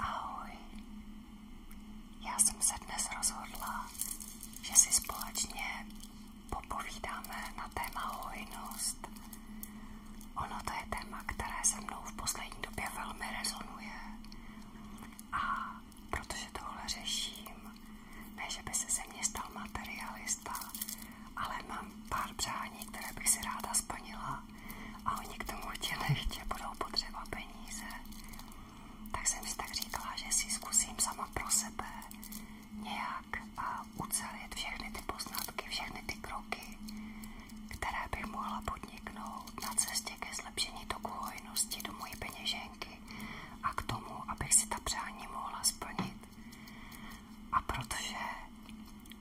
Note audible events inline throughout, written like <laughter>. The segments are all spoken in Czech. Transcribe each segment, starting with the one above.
Ahoj, já jsem se dnes rozhodla, že si společně popovídáme na téma hojnost. Ono to je téma, které se mnou v poslední době velmi rezonuje. A protože tohle řeším, ne, že by se ze mě stal materialista, ale mám pár přání, které bych si ráda splnila a oni k tomu určitě nechtě budou potřeba peníze. Tak jsem si tak říkala, že si zkusím sama pro sebe nějak ucelit všechny ty poznatky, všechny ty kroky, které bych mohla podniknout na cestě ke zlepšení toku hojnosti do mojí peněženky a k tomu, abych si ta přání mohla splnit. A protože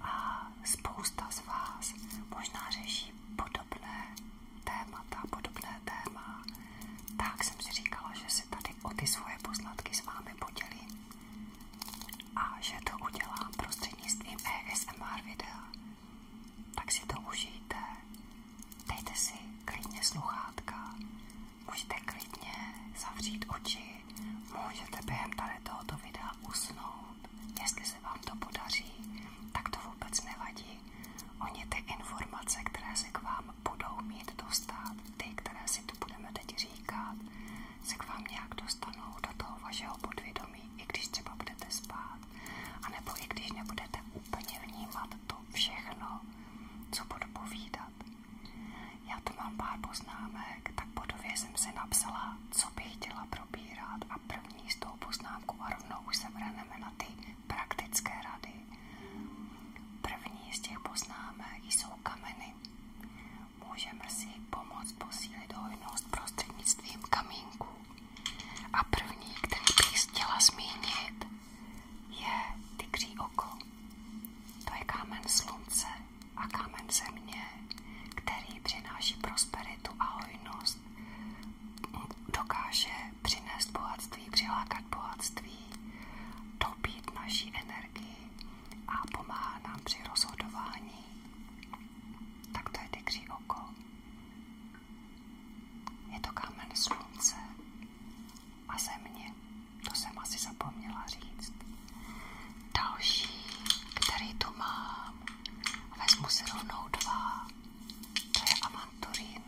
a spousta z vás možná řeší podobné témata, podobné téma, tak jsem si říkala, že si tady ty, o ty svoje poznatky s vámi podělí a že to udělám prostřednictvím ASMR videa. Tak si to užijte, dejte si klidně sluchátka, můžete klidně zavřít oči, můžete během tady tohoto videa usnout. Jestli se vám to podaří, tak to vůbec nevadí. Oni ty informace, které se k vám budou mít dostat, ty, které si tu budeme teď říkat, se k vám nějak dostanou do toho vašeho podvědomí, i když třeba budete spát, anebo i když nebudete úplně vnímat to všechno, co budu povídat. Já tu mám pár poznámek, tak podově jsem si napsala, co bych chtěla probírat a první s tou poznámkou a rovnou už se vrhneme na ty praktické rady. První z těch poznámek jsou kameny. Můžeme si pomoct posílit hojnost prostřednictvím kamínků. A první, který bych chtěla zmínit, je tygří oko. To je kámen slunce a kámen země, který přináší prosperitu a hojnost. Dokáže přinést bohatství, přilákat bohatství, dobít naší energii a pomáhá nám při rozhodování. Tak to je tygří oko. Je to kámen slunce a země. To jsem asi zapomněla říct. Další, který tu mám, vezmu si rovnou dva. To je avanturín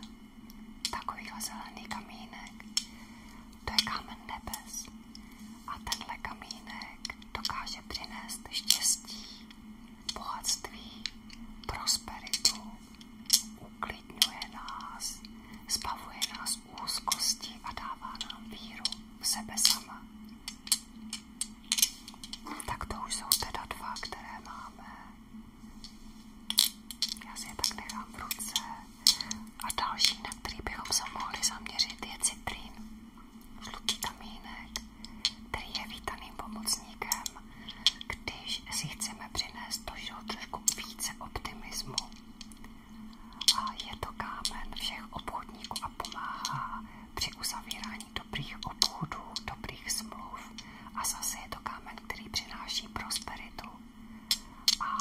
takovýhle zelený kamínek, to je kámen nebes. A tenhle kamínek dokáže přinést štěstí, bohatství, prosperitu, uklidňuje nás, zbavuje nás úzkosti a dává nám víru v sebe sama. Tak to už jsou teda dva, které máme. Já si je tak nechám v ruce. A další, na který bychom se mohli zaměřit, je citrín. Žlutý kamínek, který je vítaným pomocníkem, když si chceme přinést to trošku více optimismu. A je to kámen všech obchodníků a pomáhá při uzavírání dobrých obchodů, dobrých smluv. A zase je to kámen, který přináší prosperitu a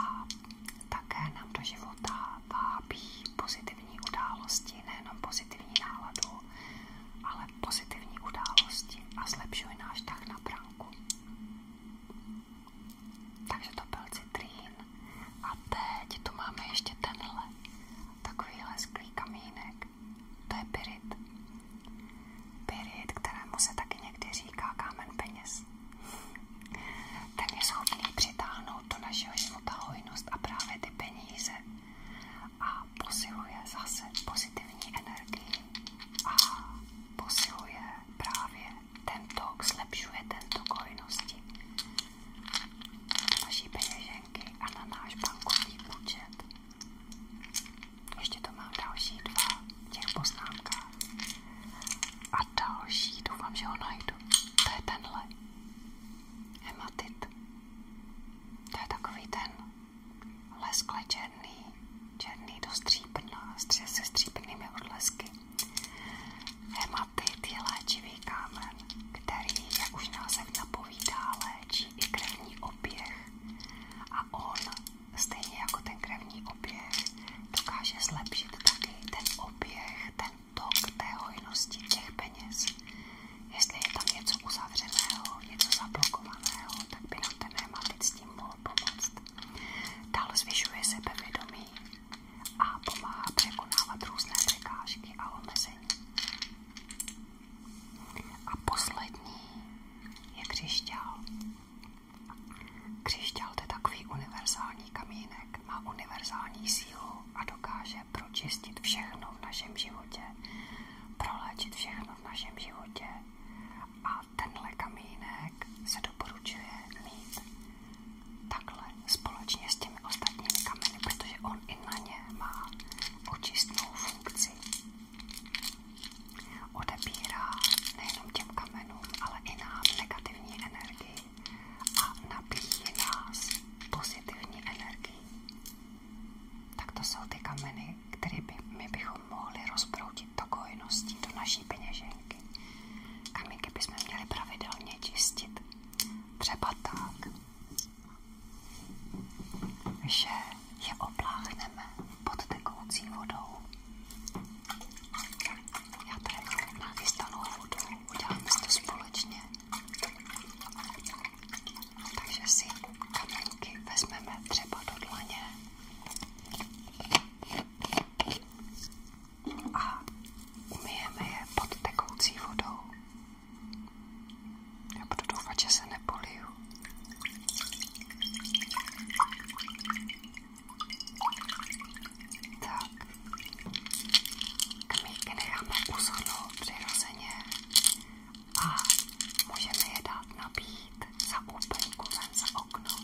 také nám do života vábí pozitivní události, nejenom pozitivní náladu, ale pozitivní události a zlepšuje náš tah na branku. Takže to byl citrín. A teď tu máme ještě tenhle, takovýhle sklý kamínek. To je pyrit. Pyrit, kterému se taky někdy říká kámen peněz. Ten je schopný přitáhnout do našeho života hojnost a právě ty peníze a posiluje zase pozitivní energii a posiluje právě ten tok, zlepšuje ten tok hojnosti naší peněženky a na náš bankovní účet. Ještě to mám další dva v těch poznámkách. A další, doufám, že ho najdu. To je tenhle. Hematit. To je takový ten leskle černý, černý do stříbrna, se stříbrnými odlesky. Hematit je léčivý kámen, který, jak už název napovídá, léčí i krevní oběh. A on stejně jako ten krevní oběh, dokáže zlepšit taky ten oběh, ten tok té hojnosti těch peněz. Jestli je tam něco uzavřeného, něco zablokovaného, tak by nám ten nematit s tím mohl pomoct. Dál zvyšuje sebevědomí a pomáhá překonávat různé překážky a omezení. A poslední je křišťál. Křišťál je takový univerzální kamínek, má univerzální sílu a dokáže pročistit všechno v našem životě, proléčit všechno v našem životě. A tenhle kamínek se doporučuje mít takhle společně s těmi ostatními kameny, protože on i na ně má očistnou funkci odebírá nejenom těm kamenům, ale i nám negativní energii a nabíjí nás pozitivní energii. Tak to jsou ty kameny, které by, my bychom mohli rozbroutit do kojností, do naší peněženky. Kamínky bychom měli pravidelně čistit. Třeba tak, že je opláchneme pod tekoucí vodou já tady mám jako nachystanou vodu, uděláme si to společně. Takže si kamenky vezmeme třeba do dlaně a umyjeme je pod tekoucí vodou. Já budu doufat, že se nepoliju. Tak. Kamíky necháme uschnout přirozeně a můžeme je dát nabít za úplnku ven za okno.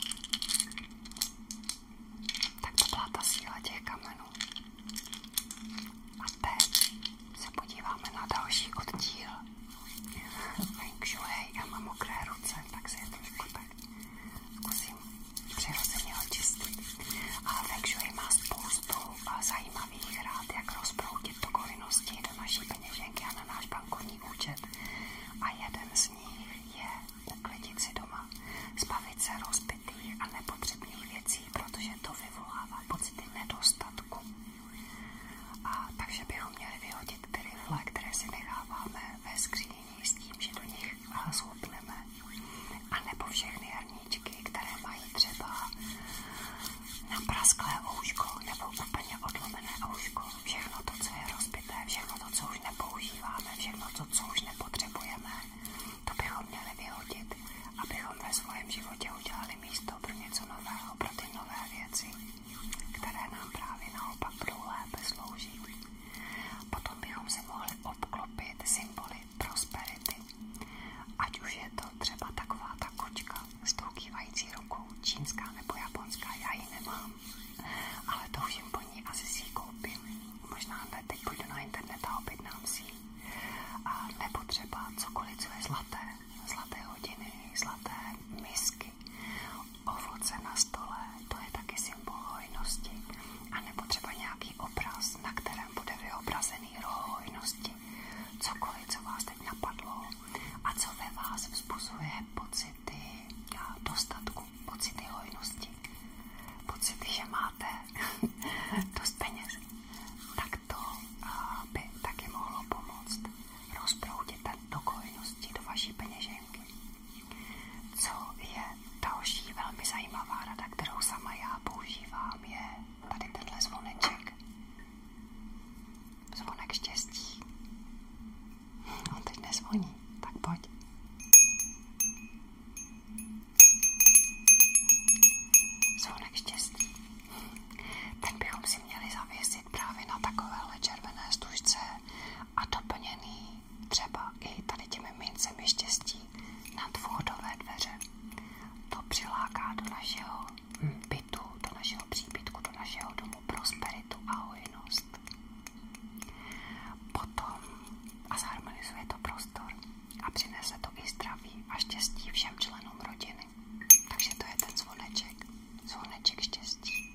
Tak to byla ta síla těch kamenů. A teď se podíváme na další oddíl Feng shui, já mám mokré ruce, tak si je trošku tak zkusím přirozeně očistit. A Feng shui má spoustu eh, zajímavých rád, jak rozproudit pokovinnosti do naší peněženky a na náš bankovní účet. A jeden z nich je uklidit si doma, zbavit se rozbitých a nepotřebných věcí, protože to vyvolává pocity nedostatku. A takže bychom měli vyhodit ty rifle, které si necháváme ve skříni s tím, že do nich zhubneme. A nebo všechny hrníčky, které mají třeba naprasklé ouško nebo úplně odlomené ouško. Všechno to, co je rozbité, všechno to, co už nepoužíváme, všechno to, co už nepotřebujeme, to bychom měli vyhodit, abychom ve svém životě udělali místo pro něco nového, pro ty nové věci které nám právě naopak budou lépe sloužit. Potom bychom se mohli obklopit symboly prosperity, ať už je to třeba taková ta s tou rukou, čínská nebo japonská, já ji nemám, ale to už asi si ji Možná ne, teď půjdu na internet a si ji. Nebo třeba cokoliv, co je zlaté, zlaté hodiny, zlaté misky, taky. Ovoce na stole, to je taky symbol hojnosti. A nebo třeba nějaký obraz, na kterém bude vyobrazený roh hojnosti. Cokoliv, co vás teď napadlo a co ve vás vzbuzuje pocity dostatku, pocity hojnosti, pocity, že máte <laughs> dost peněz, tak to eh, by taky mohlo pomoct rozproudit do hojnosti do vaší peněženky co je další velmi zajímavá rada, kterou sama já používám, je tady tenhle zvoneček. Zvonek štěstí. On teď nezvoní, tak pojď. Zvonek štěstí. Ten bychom si měli zavěsit právě na takovéhle červené stužce a doplněný třeba i tady těmi mincemi štěstí na dvouhodové dveře. To přiláká do našeho hmm. bytu, do našeho příbytku, do našeho domu prosperitu a hojnost. Potom a zharmonizuje to prostor a přinese to i zdraví a štěstí všem členům rodiny. Takže to je ten zvoneček, zvoneček štěstí.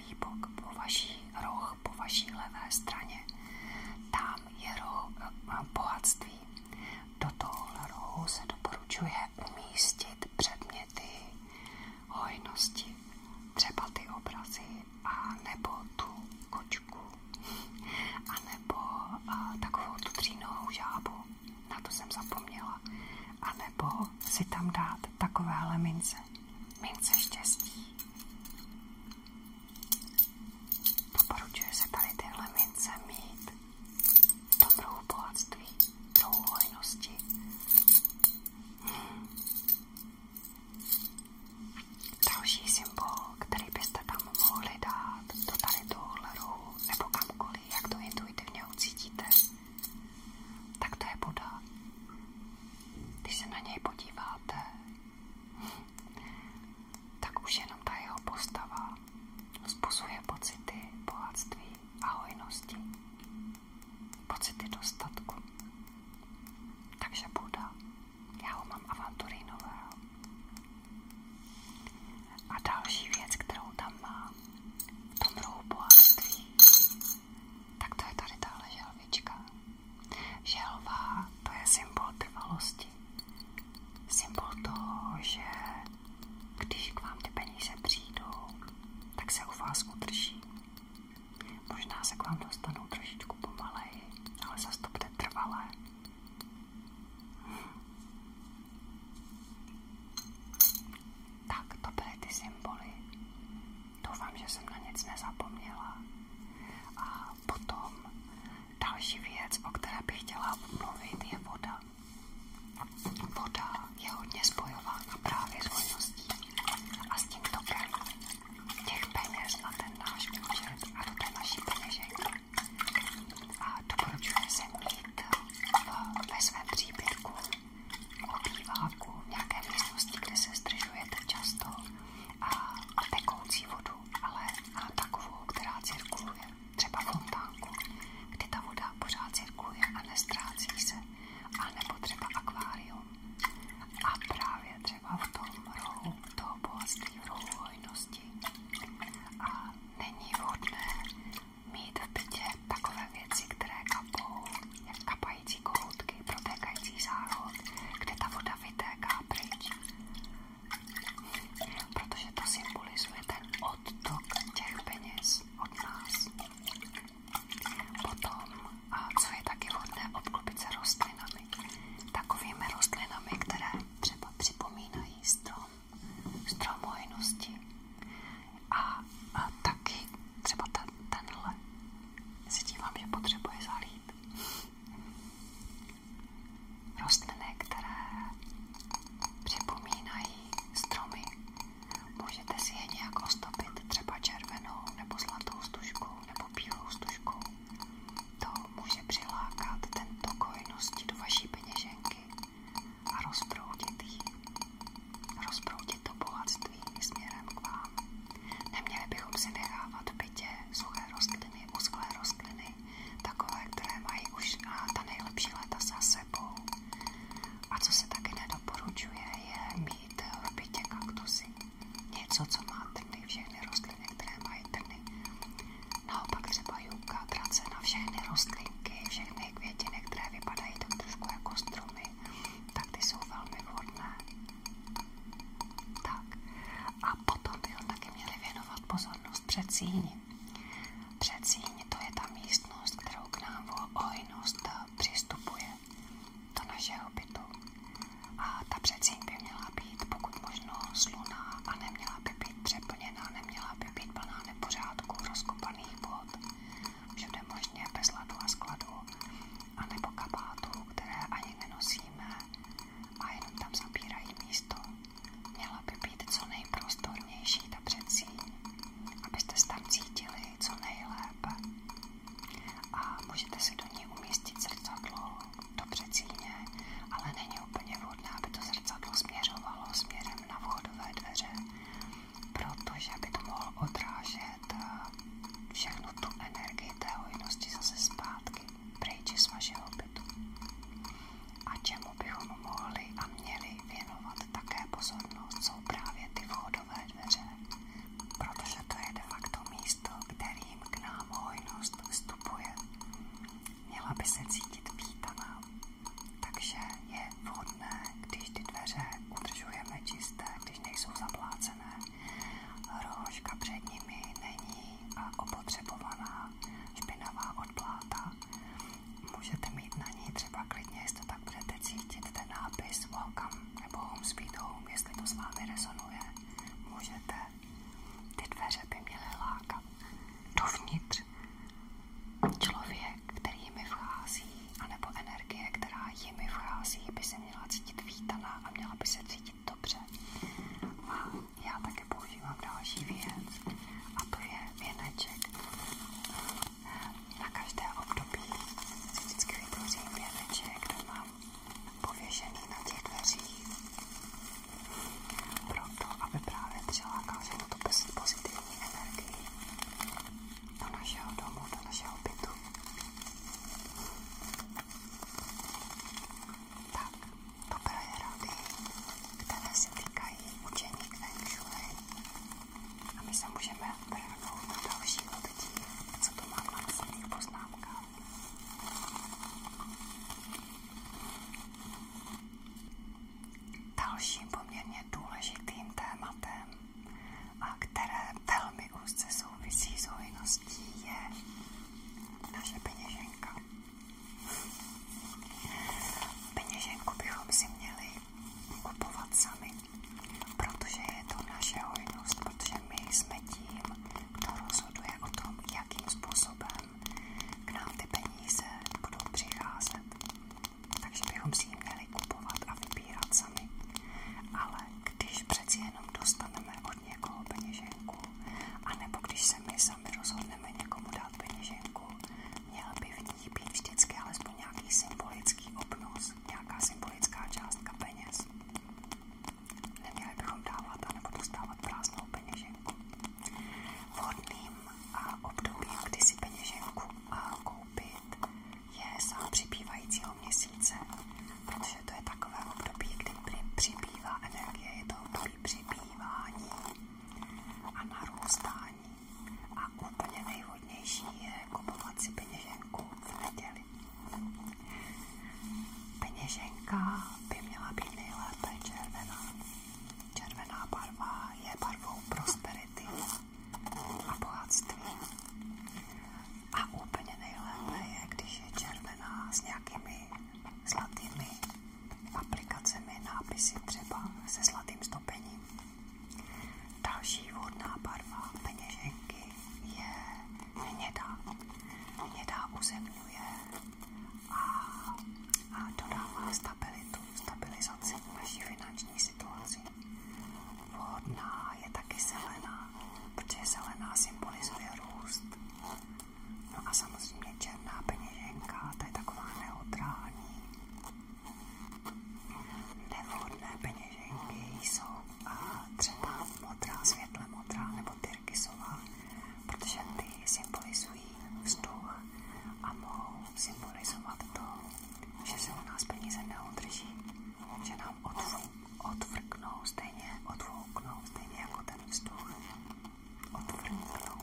pravý po vaší roh, po vaší levé straně. Tam je roh eh, bohatství. Do tohohle rohu se doporučuje umístit předměty hojnosti, třeba ty obrazy, a nebo tu kočku, a nebo eh, takovou tu třínohou žábu, na to jsem zapomněla, a nebo si tam dát takové mince mince štěstí. Doporučuje se tady tyhle mince mít v tom druhu bohatství, druhu hojnosti. Hmm. Další symbol, který byste tam mohli dát do tady tohohle rohu nebo kamkoliv, jak to intuitivně ucítíte, tak to je Buda. Když se na něj podíváte, tak už jenom ta jeho postava vzbuzuje pocity bohatství a hojnosti, pocity dostatku. Takže Buda, já ho mám avanturínového. A další věc, kterou tam mám, v tom rohu bohatství, tak to je tady tahle želvička. Želva to je symbol trvalosti. Symbol toho, že když k vám ty peníze přijdou, tak se u vás udrží. Možná se k vám dostanou trošičku pomaleji, ale zase to bude trvalé. Tak, to byly ty symboly. Doufám, že jsem na nic nezapomněla. A potom další věc, o které bych chtěla mluvit, je voda. Voda je hodně spojována právě s hojností a s tím tokem těch peněz na ten náš účet a do té naší peněženky. A doporučuje se mít ve svém příběhu obýváku v nějaké místnosti, kde se zdržujete často a tekoucí vodu, ale a takovou, která cirkuluje, třeba fontánku, kdy ta voda pořád cirkuluje a nestrácí se, a nebo třeba akvárium. A právě třeba v tom rohu toho bohatství, v rohu hojnosti. A není vhodné mít v bytě takové věci, které kapou, jak kapají protékající kohoutky, protékající záchod, kde ta voda vytéká pryč. Protože to symbolizuje ten odtok těch peněz od nás. Potom, a co je taky hodné, obklopit se rostlinami. Takovými rostlinami, které třeba připomínají strom, strom hojnosti. A, a taky třeba ta ten, tenhle. Si dívám, že potřebuje zalít. Rostliny, které připomínají stromy. Můžete si je nějak ozdobit, třeba červenou, nebo zlatou stužkou, nebo bílou stužkou. To může přilákat tento kojnosti do vaší peněženky a rozproudit ji. Rozproudit to bohatství směrem k vám. Neměli bychom si vyhávat v bytě suché rostliny, usklé rostliny, takové, které mají už a ta nejlepší léta za sebou. A co se taky nedoporučuje, je mít v bytě kaktusy. Něco, co má trny, všechny rostliny, které mají trny. Naopak třeba juka, trace na všechny rostlinky, všechny květiny, které vypadají tak trošku jako stromy, tak ty jsou velmi vhodné. Tak. A potom bychom taky měli věnovat pozornost předsíni. Předsíň to je ta místnost, kterou k nám přistupuje do našeho bytu. A ta předsíň by měla být pokud možno sluná a neměla by být přeplněná, neměla by být plná nepořádků, rozkopaných vod, všude možně bez ladu anebo kabátů, které ani nenosíme a jenom tam zabírají místo. Měla by být co nejprostornější ta abyste tam cítili co nejlépe. A můžete si do ní umístit zrcadlo do předsíně, ale není úplně aby to zrcadlo směřovalo směrem na vhodové dveře, protože by to mohlo odrážet ta, všechnu tu energii té hojnosti zase zpátky pryč z vašeho bytu. A čemu bychom mohli a měli věnovat také pozornost, jsou právě ty vchodové dveře, protože to je de facto místo, kterým k nám hojnost vstupuje. Měla by se cítit vítaná, takže je vhodné, když ty dveře udržujeme čisté, když nejsou zaplácené, Rouška před nimi není opotřebovaná špinavá odpláta. Můžete mít na ní třeba klidně, jestli to tak budete cítit, ten nápis Welcome nebo Home Sweet Home, jestli to s vámi rezonuje. Můžete. Ty dveře by měly lákat dovnitř. Člověk, který jimi vchází, anebo energie, která jimi vchází, by si měla cítit vítaná a měla by se cítit dobře. A já také používám další věc a to je věneček. Na každé období si vždycky vytvořím věneček, který mám pověšený na těch dveřích. Proto, aby právě přilákal všechno to bez pozitivní energii do našeho domu, do našeho bytu. Tak, poprvé rady, které se týkají učení Feng Shui. A my se můžeme vrhnout do dalšího oddíl, co to má v následných poznámkách. Dalším poměrně důležitým tématem a které velmi úzce souvisí s hojností, je naše peněženka. Peněženku bychom si měli kupovat sami, protože je to naše hojnost, protože my jsme tím, kdo rozhoduje o tom, jakým způsobem k nám ty peníze budou přicházet. Takže bychom si ji měli kupovat a vybírat sami. Ale když přeci jenom dostaneme od někoho peněženku, anebo když se my sami rozhodneme někomu dát peněženku, měl by v ní být vždycky alespoň nějaký symbolický obnos, nějaká symbolická částka peněz. Neměli bychom dávat anebo dostávat prázdnou peněženku. Vhodným a obdobím, kdy si peněženku a koupit, je sám přibývajícího měsíce, protože to je takové období, kdy přibývá energie, je to období přibývání a narůstání. A úplně nejvhodnější je kupovat si peněženku v neděli. Peněženka by měla být nejlépe červená. Červená barva je barvou prosperity a bohatství. A úplně nejlépe je, když je červená s nějakými zlatými aplikacemi, nápisy třeba se zlatým stopením. Další vodná barva peněženky je hnědá. Hnědá uzemňuje a, a dodává stabilitu, stabilizaci naší finanční situaci plodná je taky zelená, protože zelená symbolizuje růst. No a samozřejmě černá peněženka, to je taková neutrální. Nevhodné peněženky jsou a třeba modrá, světle modrá nebo tyrkysová, protože ty symbolizují vzduch a mohou symbolizovat to, že se u nás peníze neudrží, že nám odfou odvrknou, stejně odfouknou, stejně jako ten Odvrknou.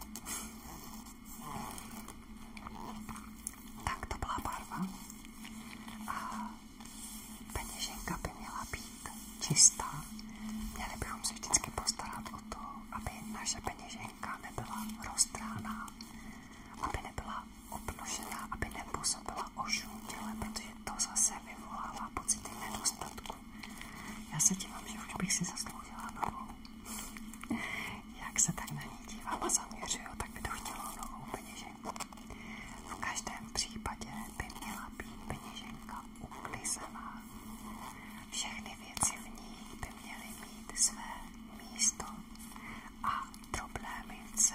Tak to byla barva. A peněženka by měla být čistá. Měli bychom se vždycky o to, aby naše peněženka nebyla roztráná, aby nebyla a obnožila, aby nepůsobila ošuměle, protože to zase vyvolává pocity nedostatku. Já se dívám, že už bych si zasloužila novou. Jak se tak na ní dívám a zaměřuju, tak by to chtělo novou peněženku. V každém případě by měla být peněženka uklizená. Všechny věci v ní by měly mít své místo a problémy se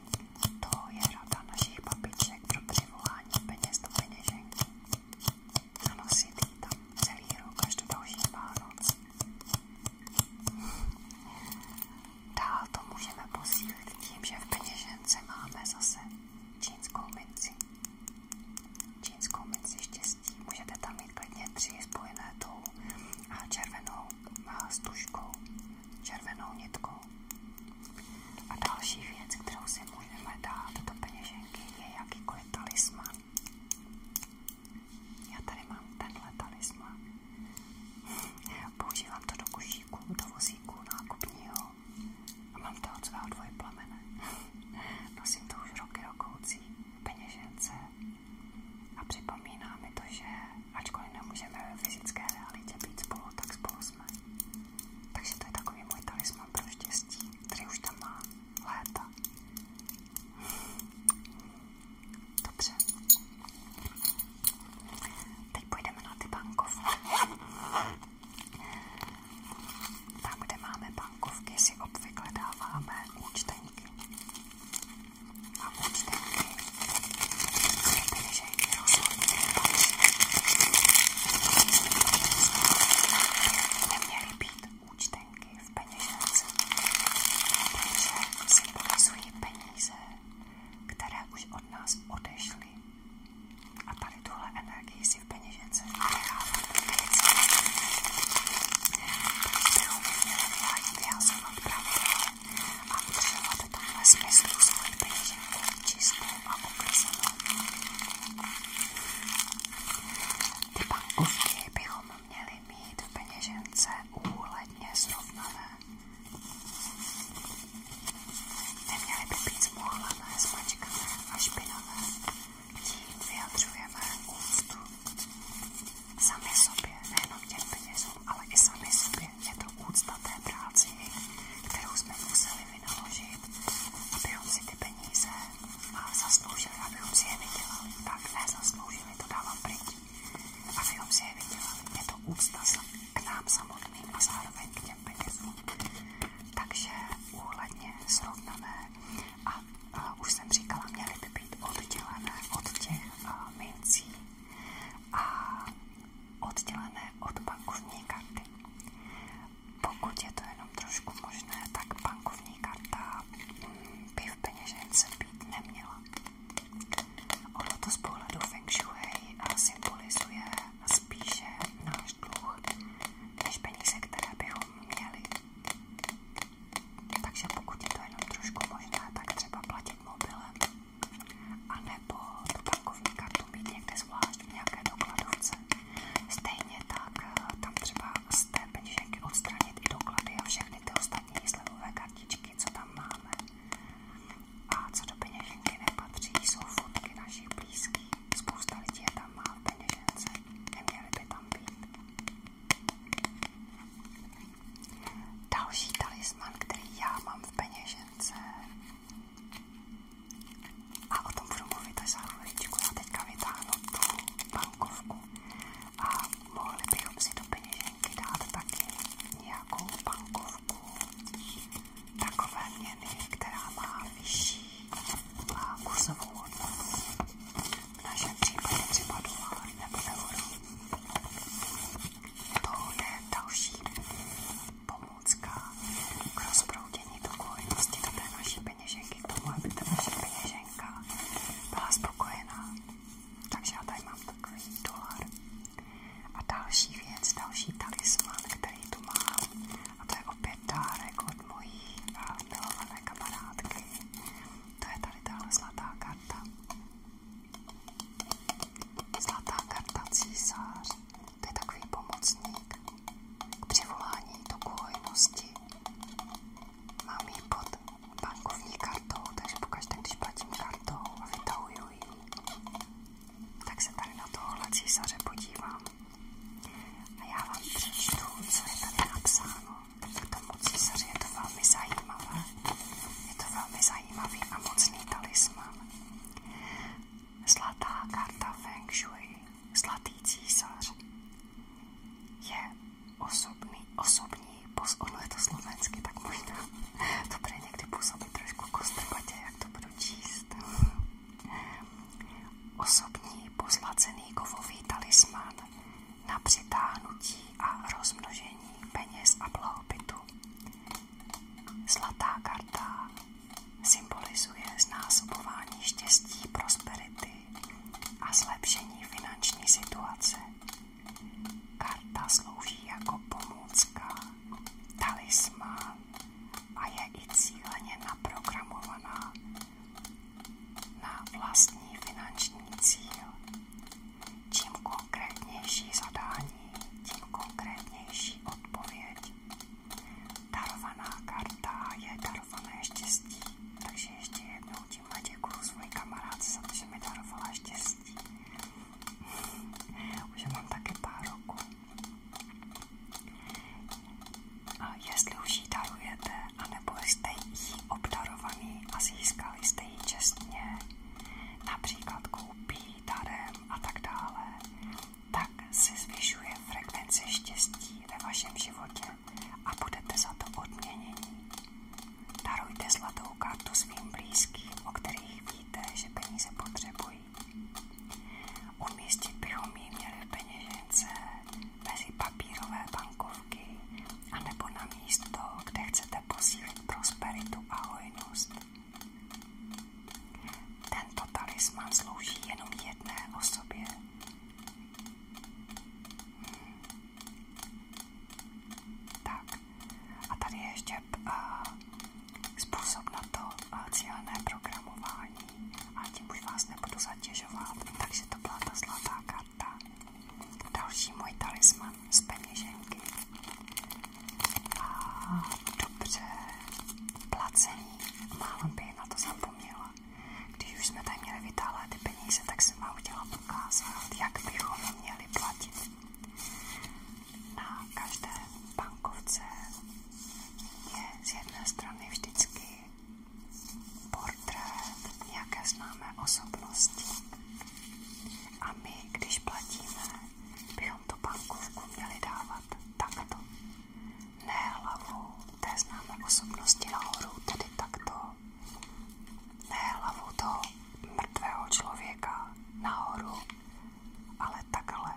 To je rada našich babiček pro přivolání peněz do peněženky. Nanosit ji tam celý rok až do další Vánoc. Dál to můžeme posílit tím, že v peněžence máme zase čínskou minci. Čínskou minci štěstí. Můžete tam mít klidně tři spojené tou a červenou a stužkou červenou nitkou. A další věc, kterou si můžeme dát do peněženky, je jakýkoliv talisman. Já tady mám tenhle talisman. Používám to do košíku, do vozíku nákupního a mám to od svého dvojplamene. Nosím to už roky rokoucí peněžence a připomíná to, že ačkoliv nemůžeme ve fyzické realitě být spolu, tak spolu jsme. Takže to je takový můj talisman pro štěstí, který už tam má léta. Dobře. Teď půjdeme na ty bankovky. Tam, kde máme bankovky, si obvykle dáváme účtenky. A účtenky neměly být účtenky v peněžence, protože symbolizují peníze, které už od nás odešly. A tady tuhle energii si v peněžence necháváme věci, kterou by měla vládě vyhazovat pravidla a udržela do tomhle smyslu svoji peněženku čistou a oklizenou. Ty bankovky bychom měli mít v peněžence úhledně srovnané. Neměly by být zmuhlané, zmačkané a špinavé. Tím vyjadřujeme úctu sami sobě, nejenom těm penězům časem, ale i sami sobě. Je to úcta té práci, kterou jsme museli vynaložit, abychom si ty peníze zasloužili, abychom si je vydělali. Tak ne zasloužili, to dávám pryč. Abychom si je vydělali. Je to úcta k nám samotným a zároveň k těm penězům. Takže úhledně srovnané a, a už jsem říkala, měly by být oddělené od těch a, mincí a oddělené od bankovní karty. Pokud je to jenom trošku možné, tak bankovní karta by v peněžence být neměla. Ono to z pohledu Feng Shui symbolizuje spíše náš dluh, než peníze, které bychom měli. Takže pokud je to jenom trošku možné, tak třeba platit mobilem a nebo tu bankovní kartu mít někde zvlášť v nějaké dokladovce. Stejně tak eh, tam třeba z té peněženky odstranit i doklady a všechny ty ostatní slevové kartičky, co tam máme. A co do peněženky nepatří, jsou fotky našich blízkých. Spousta lidí je tam má v peněžence, neměly by tam být. Další talisman, který já mám v peněžence, a o tom budu mluvit až za chviličku. Já teďka vytáhnu tu bankovku a mohli bychom si do peněženky dát taky nějakou bankovku takové měny, která má vyšší má kursovou hodnotu. V našem případě třeba dolar nebo euro. To je další pomůcka k rozproudění dokonalosti do té naší peněženky, k tomu, aby ta naše peněženka byla spokojená. Takže já tady mám takový dolar. A další věc, další talisman, který tu mám, a to je opět dárek od mojí eh, milované kamarádky. To je tady tahle zlatá karta. Zlatá karta císař, to je takový pomocník k přivolání toku hojnosti. Mám ji pod bankovní kartou, takže pokaždé, když platím kartou a vytahuju ji, tak se tady na tohohle císaře podívám. A já vám přečtu, co je tady napsáno. Tak k tomu císaři je to velmi zajímavé. Je to velmi zajímavé zajímavý a mocný talisman. Zlatá karta Feng Shui, zlatý císař, je osobný, osobní, pos, ono je to slovensky, tak možná <laughs> to bude někdy působit trošku kostrbatě, jak to budu číst. <laughs> Osobní pozlacený kovový talisman na přitáhnutí a rozmnožení peněz a blahobytu. Zlatá karta symbolizuje znásobování štěstí, prosperity a zlepšení finanční situace. Karta slouží jako pomůcka, talismán a je i cíleně na vlastní finanční cíl. Čím konkrétnější zadání, tím konkrétnější odpověď. Darovaná karta je darované štěstí, takže ještě jednou tímhle děkuju svoji kamarádce za to, že mi darovala štěstí. <laughs> Už mám taky pár roku. A jestli už ji darujete, anebo jste jí obdarovaný a získali jste ji čestně, například koupí darem a tak dále, tak si zvyšuje frekvence štěstí ve vašem životě a budete za to odměnění. Darujte zlatou kartu svým blízkým, o kterých víte, že peníze potřebují. Umístit bychom ji měli mezi papírové bankovky anebo na místo, kde chcete posílit prosperitu a hojnost. Tento talisman slouží jenom jedné osobě. Tak. A tady ještě uh, způsob na to uh, cílené programování. A tím už vás nebudu zatěžovat. Takže to byla ta karta. Další můj talisman z peněženky a dobře placení. Málem by na to zapomněla. Když už jsme tady měli vytáhlet ty peníze, tak jsem vám chtěla ukázat, jak bychom měli platit. Na každé bankovce je z jedné strany vždycky portrét nějaké známé osobnosti. A my, když platíme, bychom nám tu bankovku měli dávat takto. Ne hlavou té známé osobnosti nahoru, tedy takto. Ne hlavou toho mrtvého člověka nahoru, ale takhle.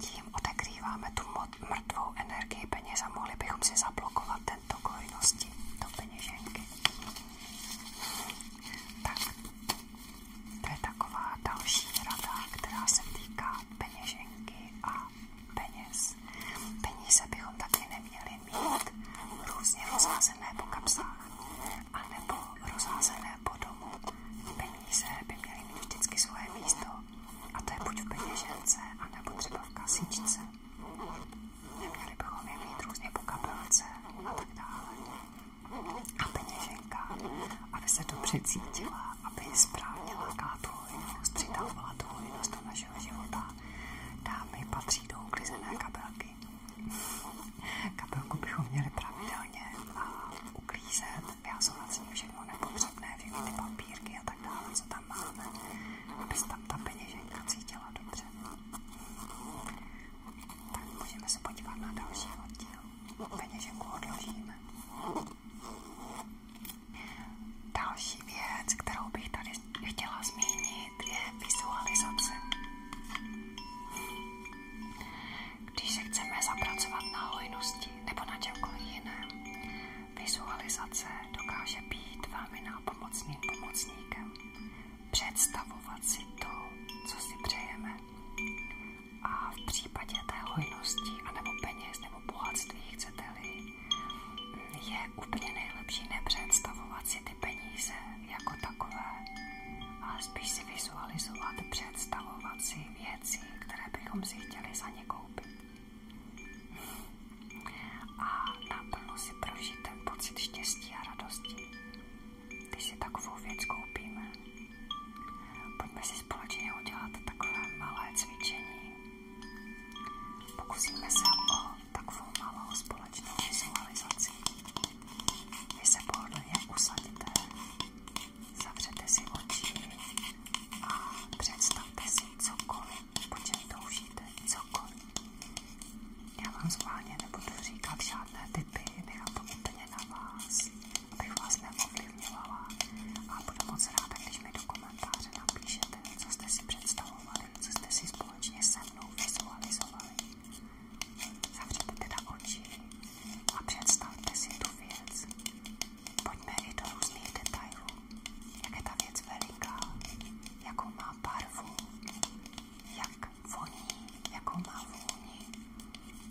Tím odekrýváme tu mrtvou energii peněz a mohli bychom si zablokovat tento hojnosti do peněženky. Tak, to je taková další rada, která se týká peněženky a peněz. Peníze bychom taky neměli mít různě rozházené po kapsách anebo rozházené po domu. Peníze by měly mít vždycky svoje místo a to je buď v peněžence, anebo třeba v kasičce. Neměli bychom je mít různě po kapelce a tak dále a peněženka, aby se dobře cítila, aby správně lákala tu hojnost, přitahovala tu hojnost do našeho života. Dámy patří do uklizené kabelky. Kabelku bychom měli pravidelně uklízet, vyhazovat s ní všechno nepotřebné, všechny ty papírky a tak dále, co tam máme, aby se tam ta peněženka cítila dobře tak můžeme se podívat na další oddíl. Peněženku odložíme. Další věc, kterou bych tady chtěla zmínit, je vizualizace. Když se chceme zapracovat na hojnosti nebo na čemkoliv jiném, vizualizace dokáže být velmi nápomocným pomocníkem představovat si to, co si přejeme. A v případě té hojnosti, anebo peněz, nebo bohatství, chcete-li, je úplně nejlepší nepředstavovat si ty peníze jako takové, a spíš si vizualizovat, představovat si věci, které bychom si chtěli za ně koupit. A naplno si prožít ten štěstí a radosti když si takovou věc koupíme. Pojďme si společně udělat takové malé cvičení. Pokusíme se o takovou malou společnou vizualizaci. Vy se pohodlně usadíte, zavřete si oči a představte si cokoliv, po čem toužíte, cokoliv. Já vám schválně nebudu říkat žádné typy, nechám to úplně na vás, abych vás neovlivňovala a budu moc ráda, když mi do komentáře napíšete, co jste si představovali, co jste si společně se mnou vizualizovali. Zavřete teda oči a představte si tu věc. Pojďme i do různých detailů. Jak je ta věc veliká, jakou má barvu, jak voní, jakou má vůni.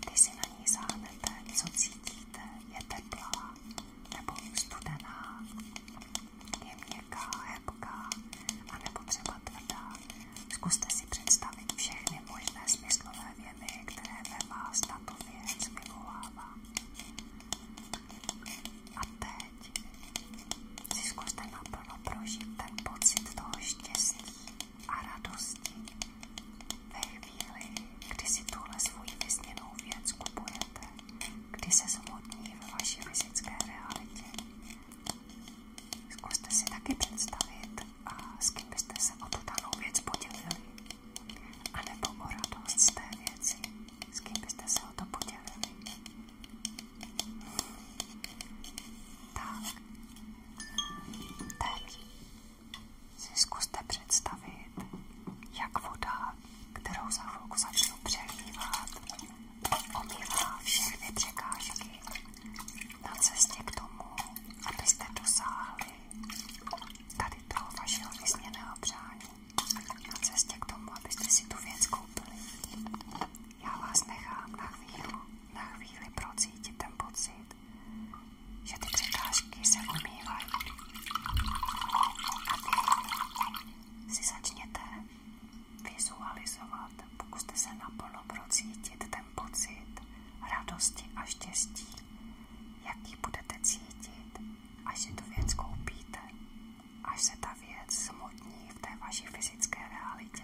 Když si na ní sáhnete, co cítíte, je teplá nebo studená, je měkká, hebká a nebo třeba tvrdá. Zkuste si představit všechny možné smyslové věmy, které ve vás tato věc vyvolává. A teď si zkuste naplno prožít ten pocit toho štěstí, a radosti. Ve chvíli, kdy si tuhle svoji vysněnou věc kupujete, kdy se zhodní ve vaší fyzické realitě. Zkuste si taky představit, a s kým byste se o tu danou věc podělili. A nebo o radost z té věci, s kým byste se o to podělili. Tak. Teď si zkuste představit, jak voda, kterou za chvilku začnu přelívat, omývá všechny překážky na cestě k tomu, abyste dosáhli tady toho vašeho vysněného přání. Na cestě k tomu, abyste si tu věc koupili. Já vás nechám na chvíli na chvíli procítit ten pocit, že ty překážky se umývají. A vy si začněte vizualizovat, pokuste se naplno procítit ten pocit radosti a štěstí, jaký budete cítit, až si tu věc koupíte, až se ta věc smutní v té vaší fyzické realitě.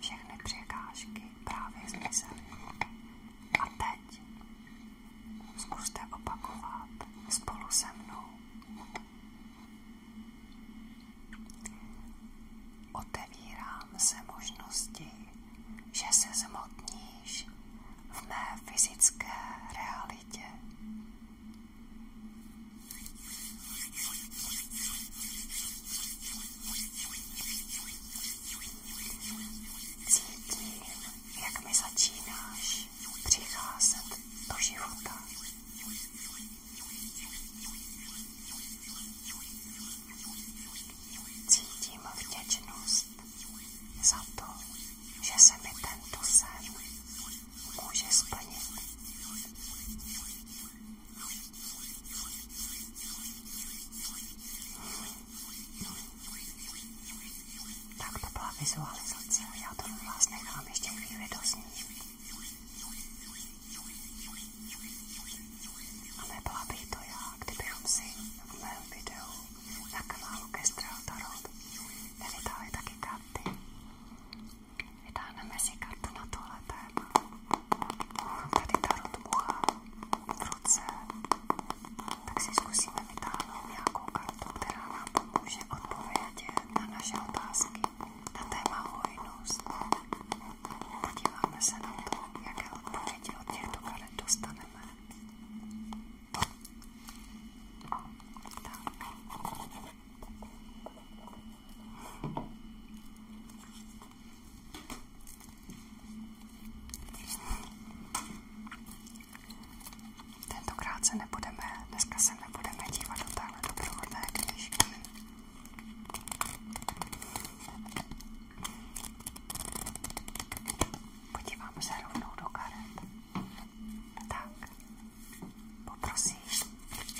všechny překážky právě zmizely. A teď zkuste opakovat spolu se mnou. Otevírám se možnosti, že se zmotníš v mé fyzické realitě. Cítím, jak mi začínáš přicházet do života. Cítím vděčnost za to, že se mi tento sen může splnit. Tak to byla vizualizace, já to vás nechám ještě chvíli doznít. A nebyla bych to já, kdybychom si v mém videu na kanálu Kestrel Tarot nevytáhli taky karty. Vytáhneme si kartu na tohle téma. Mám tady tarot ucha v ruce, tak si zkusíme vytáhnout nějakou kartu, která nám pomůže odpovědět na naše otázky na téma hojnost. Podíváme se na to, jaké odpovědi od těchto karet dostaneme. Tak. Tentokrát se nebudeme, dneska se nebudeme dívat do téhle doprovodné knižky. Podíváme se rovnou do karet. Tak, poprosím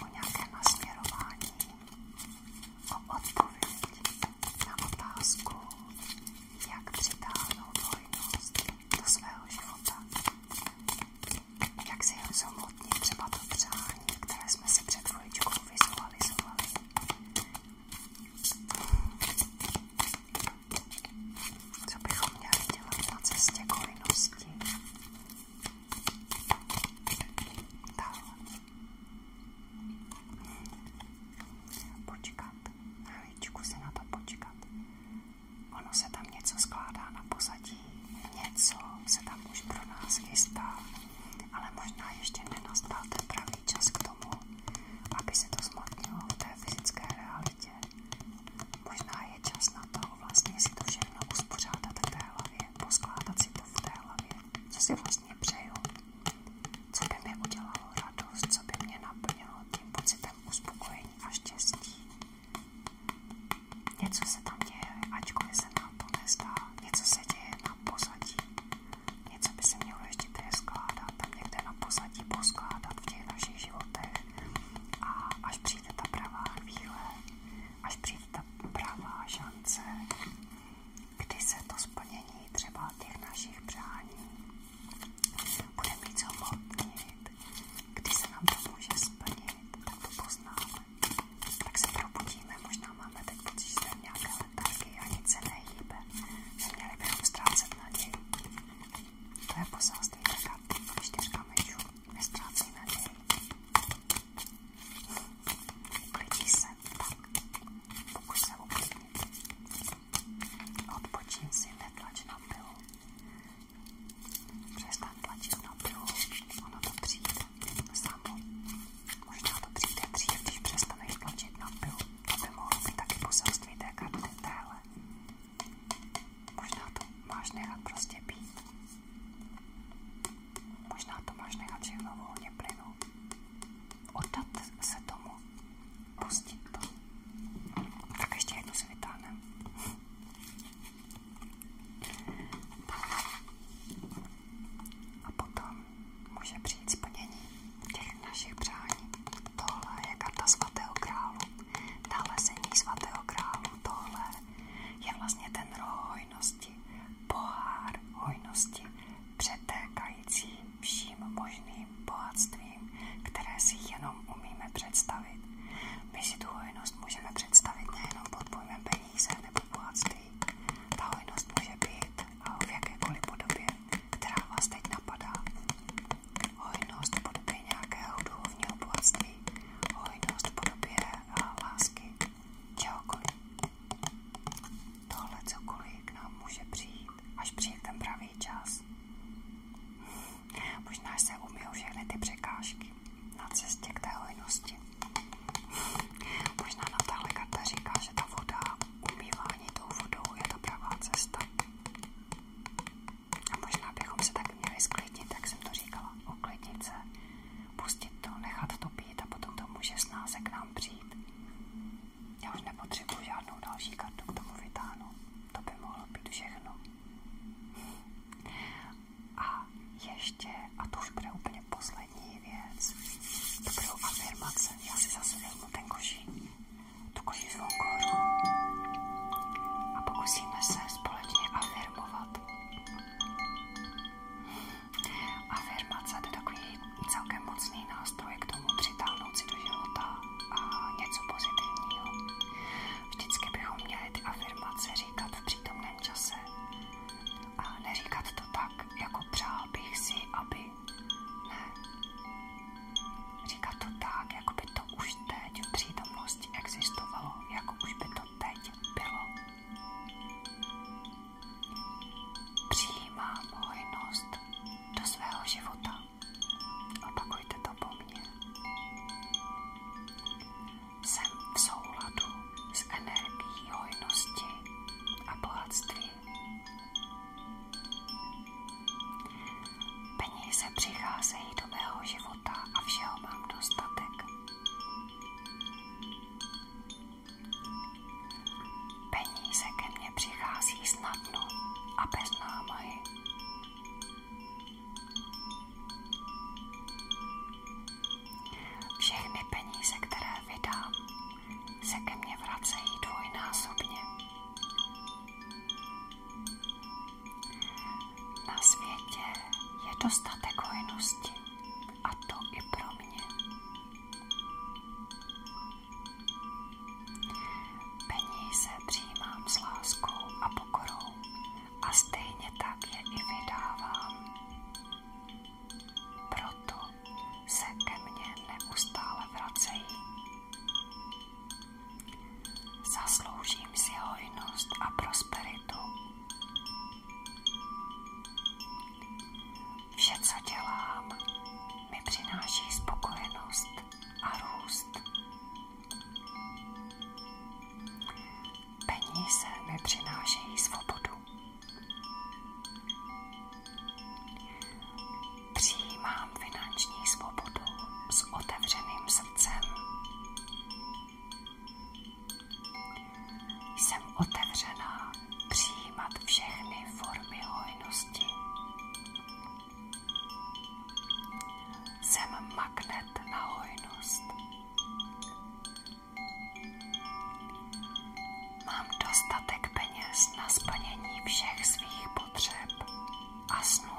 o nějaké nasměrování o odpověď na otázku, jak přitáhnout hojnost do svého života. Jak si jen zomotnit třeba to přání, které jsme si před chviličkou vizualizovali. Co bychom měli dělat na cestě k hojnosti? Dále. Počkat, chvíličku si na to počkat. Ono se tam něco skládá na pozadí, něco se tam už pro nás chystá, ale možná ještě nenastal ten pravý čas k tomu, aby se to zmotnilo v té fyzické realitě. Možná je čas na to vlastně si to všechno uspořádat v té hlavě, poskládat si to v té hlavě co si vlastně přeju, co by mi udělalo radost, co by mě naplnilo tím pocitem uspokojení a štěstí. Něco se tam děje, ačkoliv se nám to nezdá, něco se děje na pozadí, něco by se mělo ještě přeskládat, tam někde na pozadí poskládat v těch našich životech. A až přijde ta pravá chvíle, až přijde ta pravá šance, kdy se to splnění třeba těch našich přání bude mít zhmotnit, kdy se nám to může splnit, tak to poznáme. Tak se probudíme, možná máme teď pocit, že jsme nějaké letarky a nic se nehýbe. Neměli bychom ztrácet naději. To je poselství taká čtyřka myčů. Nestrácí naději. Klidí se, tak, pokus se uklidnit. Odpočin si, netlač na pilu. Přestaň tlačit na pilu, ono to přijde samo. Možná to přijde dřív, když přestaneš tlačit na pilu. To by mohlo být taky poselství té karty téhle. Možná to máš nechat prostě být. Možná to máš nechat všechno volně plynu. Oddat se tomu. Pustit to. Tak ještě jednu si vytáhnem. A potom může přijít splnění těch našich přání. Tohle je karta svatého králu. Nalezení svatého králu. Tohle je vlastně ten roh hojnosti pohár hojnosti, přetékající vším možným bohatstvím, které si jenom umíme představit. My si tu hojnost můžeme představit nejenom pod pojmem peníze nebo bohatství. Ta hojnost může být v jakékoliv podobě, která vás teď napadá. Hojnost v podobě nějakého duchovního bohatství, hojnost v podobě lásky, čehokoliv. Tohle cokoliv k nám může přijít, až přijde ten pravý čas. <laughs> Možná se umijou všechny ty překážky na cestě k té hojnosti. <laughs> Možná nám tahle karta říká, že ta voda, umývání tou vodou je ta pravá cesta. A možná bychom se taky měli sklidnit, jak jsem to říkala, uklidnit se, pustit to, nechat to být a potom to může snáze k nám přijít. Já už nepotřebuji žádnou další kartu k tomu vytáhnout. To by mohlo být všechno. A ještě, a to už bude úplně poslední věc, to budou afirmace. Já si zase vezmu ten košík, tu košíkovou koru a pokusíme se společně afirmovat. Afirmace to je takový celkem mocný nástroj k tomu přitáhnout si do života a něco pozitivního. Vždycky bychom měli ty afirmace říkat v přítomném čase a neříkat to tak, jako přál bych si, aby. Ne. Říkat to tak, jako by to už teď v přítomnosti existovalo, jako už by to teď bylo. Přijímám hojnost do svého života. Opakujte to po mně. Jsem v souladu s energií hojnosti a bohatství. Peníze přicházejí do mého života a všeho mám dostatek. Peníze ke mně přichází snadno a bez námahy. Všechny peníze, které vydám, se ke mně vracejí dvojnásobně. Na světě je dostatek hojnosti a to i pro mě. Peníze se přijímám s láskou a pokorou a stejně tak je i vydávám. Proto se ke mně neustále vracejí. Zasloužím si hojnost a prosperitu. Vše, co dělám, mi přináší spokojenost a růst. Peníze mi přinášejí svobodu. Přijímám finanční svobodu s otevřeným srdcem. Jsem otevřená přijímat všechny formy hojnosti. Jsem magnet na hojnost. Mám dostatek peněz na splnění všech svých potřeb a snů.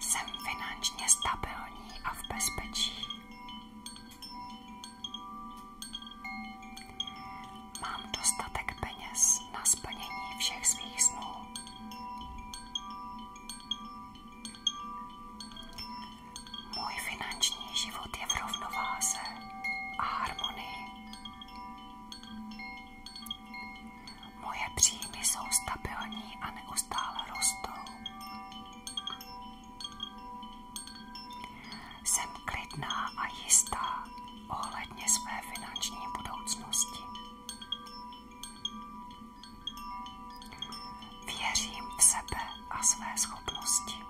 Jsem finančně stabilní a v bezpečí. Mám dostatek peněz na splnění všech svých snů. Můj finanční život je v rovnováze a harmonii. Moje příjmy jsou stabilní a neustále rostou. Jsem klidná a jistá ohledně své finanční budoucnosti. Věřím v sebe a své schopnosti.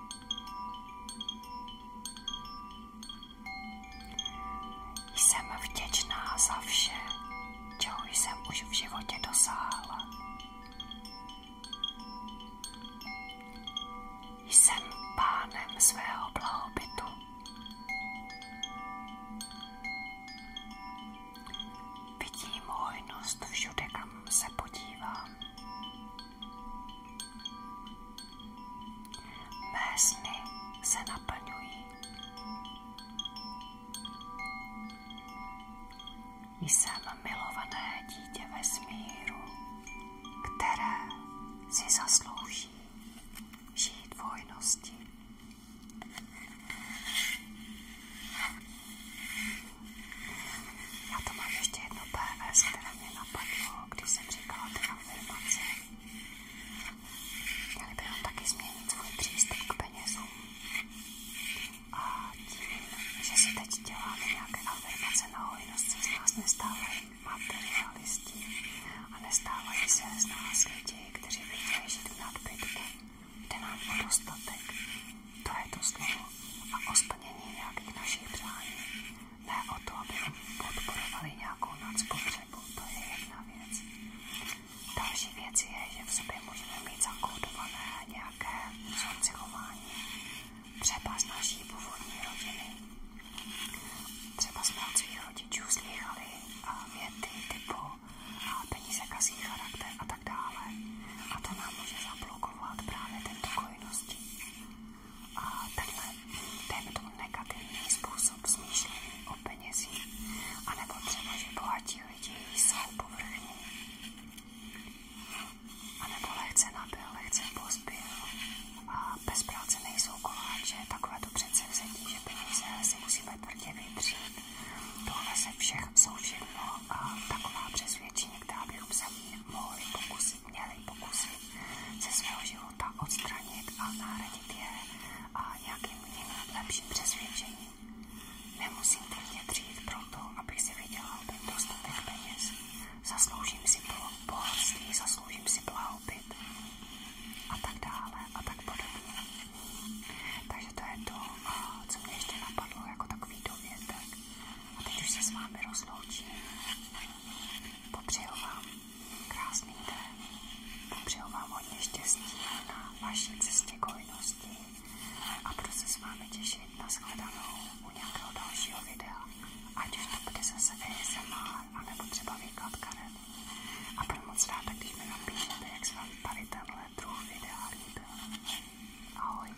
Jsem vděčná za vše, čeho jsem už v životě dosáhla. Jsem pánem svého blahobytu. Vidím hojnost všude, kam se podívám. Mé sny se naplňují. Jsem milované dítě ve smíru, které si zaslouží žít v Já to mám ještě jedno PVS, které mě napadlo, když jsem říkala ty afirmace. Měli bychom taky změnit svůj přístup k penězům a tím, že si teď děláme nějaké afirmace na hojnost, se z nás nestávají materialisti a nestávají se z nás lidi, kteří by chtěli žít v nadbytku. Jde nám o dostatek, to je to slovo, a o splnění nějakých našich přání. Ne o to, aby podporovali nějakou nadspotřebu, to je jedna věc. Další věc je, že v sobě můžeme mít zakódované nějaké vzorce chování, třeba z naší původní rodiny. Třeba jsme od svých rodičů slýchali věty typu a peníze kasí charakter a tak dále. A to nám může zablokovat právě tento kojnosti. A tenhle, dejme tomu negativní způsob smýšlení o penězích. A nebo třeba, že bohatí vidějí jsou povrchní. A nebo lehce nabil, lehce pozbyl. A bez práce nejsou koláče, takové to přece vzetí, že peníze si musíme tvrdě vytřít. Tohle se všech jsou všechno a taková přesvědčení, která bychom se mohli pokusit, měli pokusit ze svého života odstranit a náradit je a nějakým jiným lepším přesvědčením. Nemusím tvrdě dřít proto, abych si vydělal ten dostatek peněz. Zasloužím si bohatství, zasloužím si blahobyt a tak dále a tak podobně. Takže to je to, co mě ještě napadlo jako takový dovětek. A teď už se s vámi rozloučím. Popřeju vám krásný den. Popřeju vám hodně štěstí na vaší cestě k hojnosti a budu se s vámi těšit na shledanou u nějakého dalšího videa. Ať už to bude zase ASMR, anebo třeba výklad karet. A budu moc ráda, když mi napíšete, jak se vám tady tenhle druh videa líbil. Ahoj!